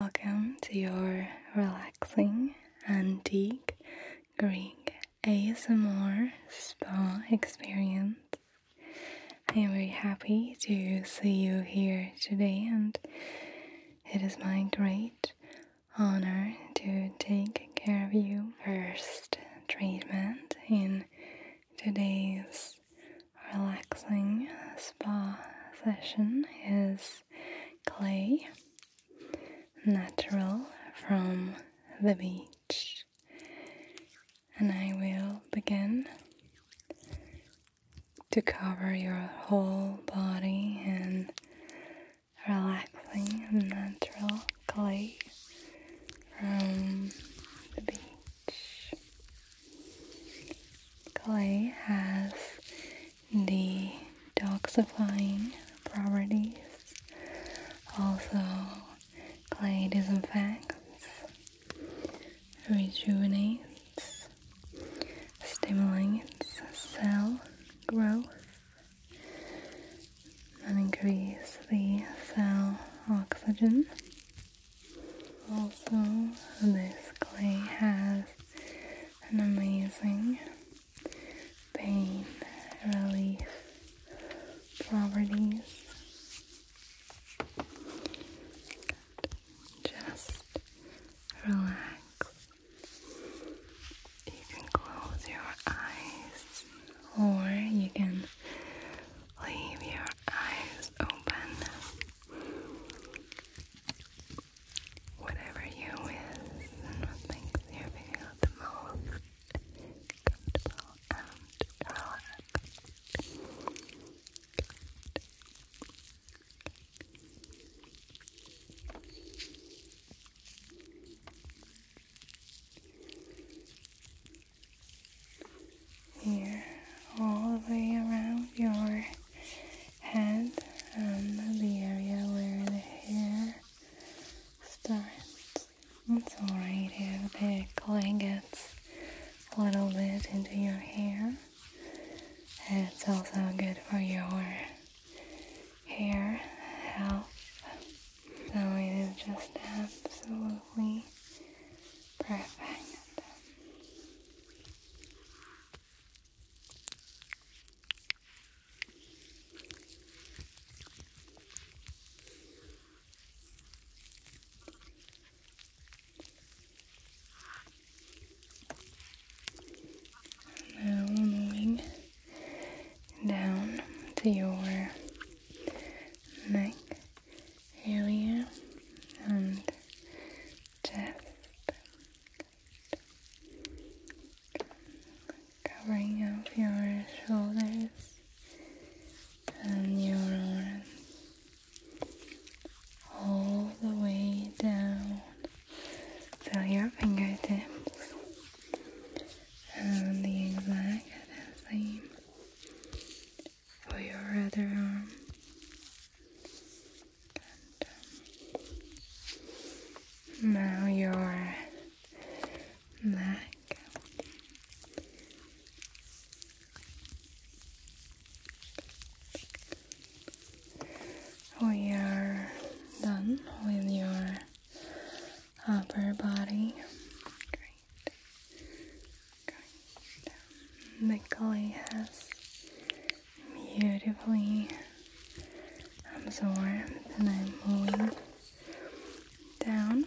Welcome to your relaxing antique Greek ASMR spa experience. I am very happy to see you here today, and it is my great honor to take care of you. First treatment in today's relaxing spa session is clay, natural from the beach, and I will begin to cover your whole body in relaxing natural clay from the beach. Clay has the detoxifying properties, also clay disinfects, rejuvenates, stimulates cell growth, and increases the cell oxygen. Also, this clay has an amazing pain relief properties. Just relax. You can close your eyes or you can leave your eyes open whatever you're with and what makes the most comfortable and relaxed. Here, all the way around your head, um, the area where the hair starts. It's alright here. the clay gets a little bit into your hair. It's also good for your hair health. So it is just absolutely perfect. Now moving down to your neck area and chest covering up your shoulders and your arms all the way down till your fingertips and the exact same for your other arm um, now your neck. We are done with your upper body. Great. has beautifully absorbed and I'm moving down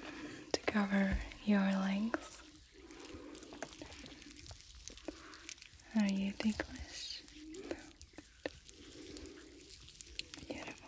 to cover your legs. Are you ticklish? Beautiful.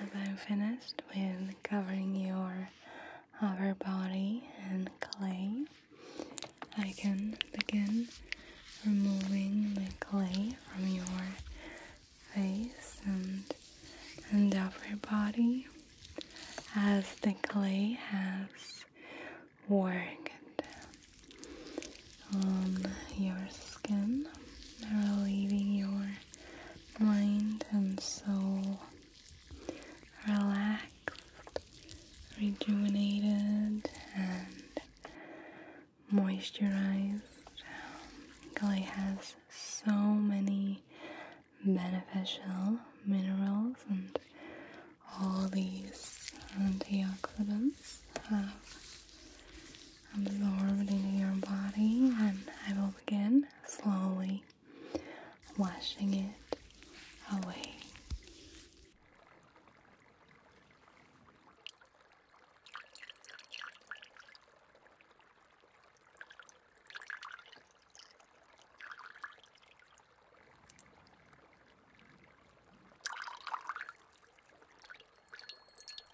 And I'm finished with covering your upper body and clay. I can begin removing the clay from your face and, and upper body as the clay has worked on your skin, relieving your mind and soul relaxed, rejuvenated, and moisturized. Galley has so many beneficial minerals and all these antioxidants have absorbed into your body, and I will begin slowly washing it away.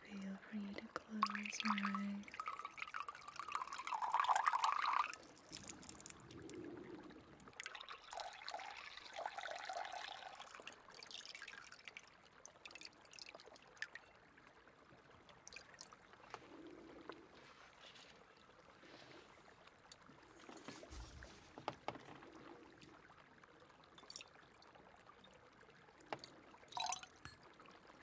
feel free to close your eyes.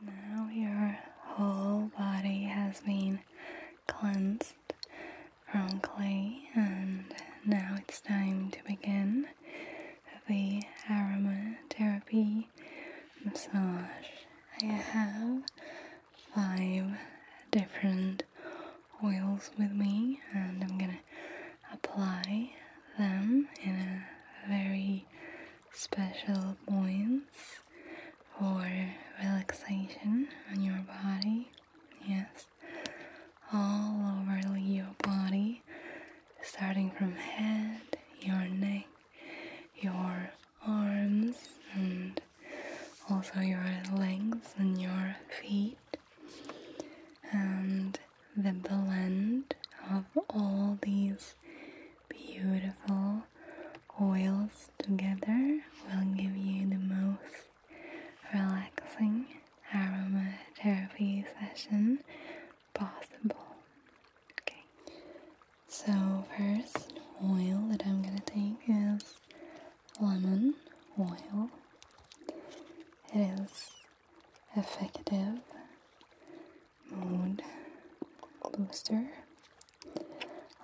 Now your whole body has been cleansed from clay, and now it's time to begin the aromatherapy massage. I have five different oils with me and I'm gonna apply them in a very special points for relaxation on your body. Yes, all over your body, starting from head, your neck, your arms, and also your legs and your feet. And the blend of all these beautiful oils together will give you the most relaxing aromatherapy session possible. Okay, so first oil that I'm gonna take is lemon oil. It is effective mood booster.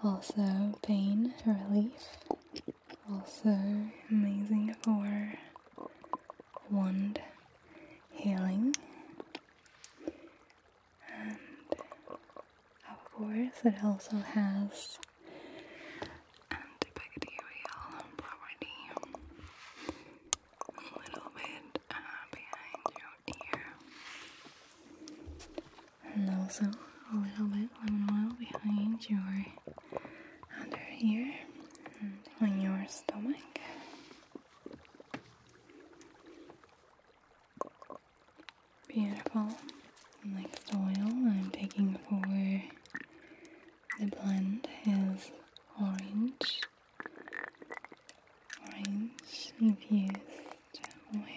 Also, pain relief. Also, amazing for wound healing. And of course, it also has and bacterial property a little bit uh, behind your ear and also a little bit lemon oil behind your under here, and on your stomach Beautiful. Next oil I'm taking for the blend has orange, orange infused oil.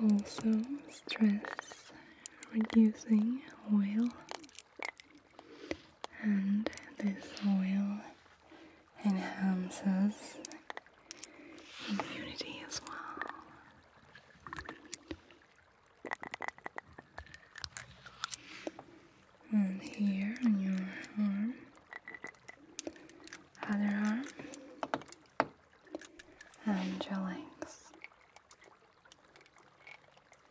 Also stress reducing oil and this oil enhances immunity as well and here on your arm, other arm, and your legs.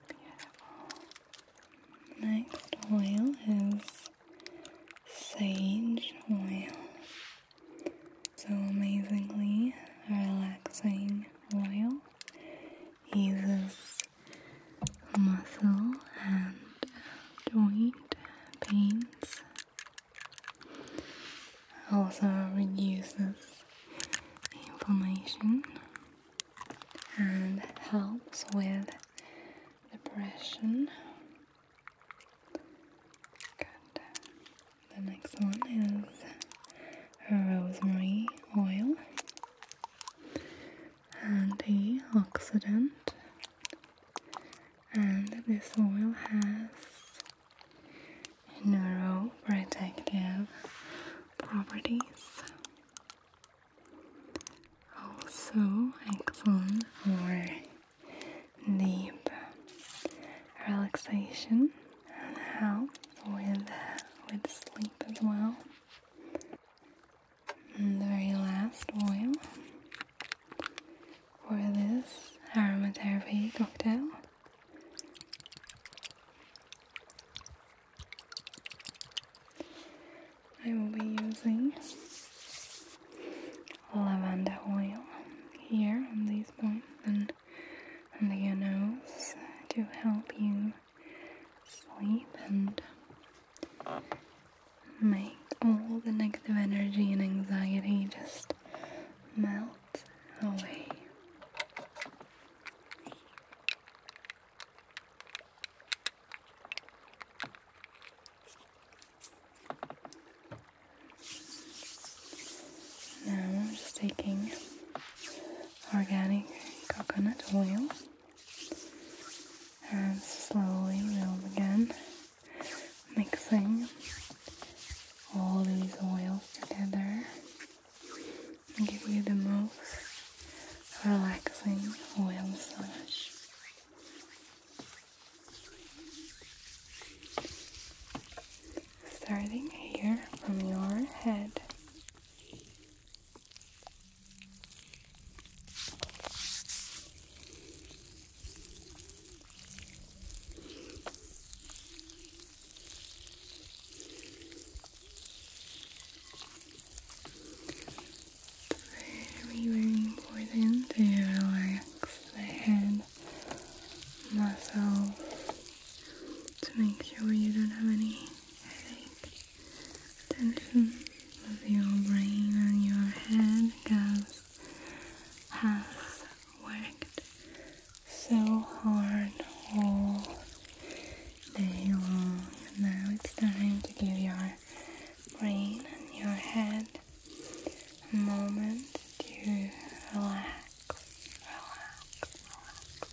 Beautiful. Next oil is sage oil. So amazingly relaxing oil eases muscle and joint pains. Also reduces inflammation and helps with depression. The next one is rosemary oil and the antioxidant and this oil has neuroprotective properties also excellent for deep relaxation and help with with sleep as well. And the very last oil for this aromatherapy cocktail I will be using lavender oil here on these points and under your nose to help you sleep and make all the negative energy and anxiety just melt away. Now I'm just taking organic coconut oil and slowly we again, mixing all these oils together and give you the most relaxing oil massage. Starting here from your head very, very important to relax the head muscles to make sure you don't have any I think tension of your brain and your head has, worked so hard all day long. Now it's time to give your brain and your head a moment to relax, relax.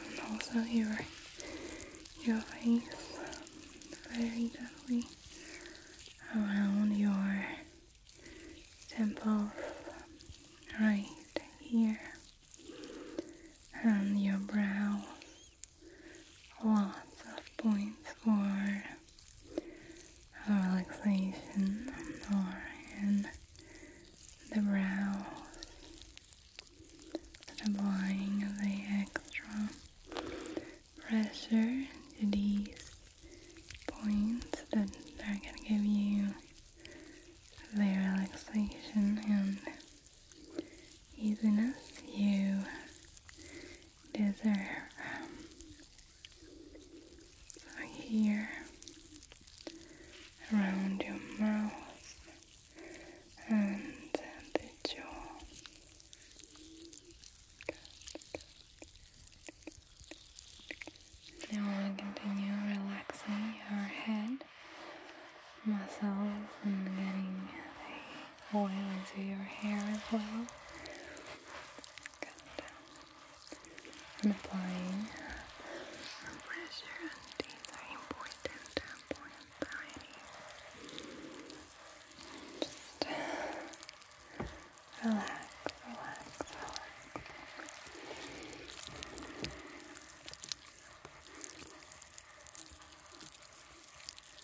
And also your your face very gently around your temple, right here and your brow lots of points for relaxation or in the brows, applying the extra pressure to these points that are going to give you the relaxation and easiness you desert so um, here around your mouth and the jaw now we continue relaxing your head muscles and getting oil into your hair as well. Good. I'm applying pressure, and these are important, important tiny. Just relax, relax, relax.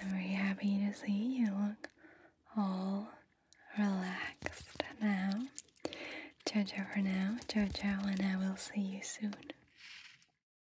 I'm very happy to see you look all relaxed now. Jojo for now, Jojo, and I will see you soon.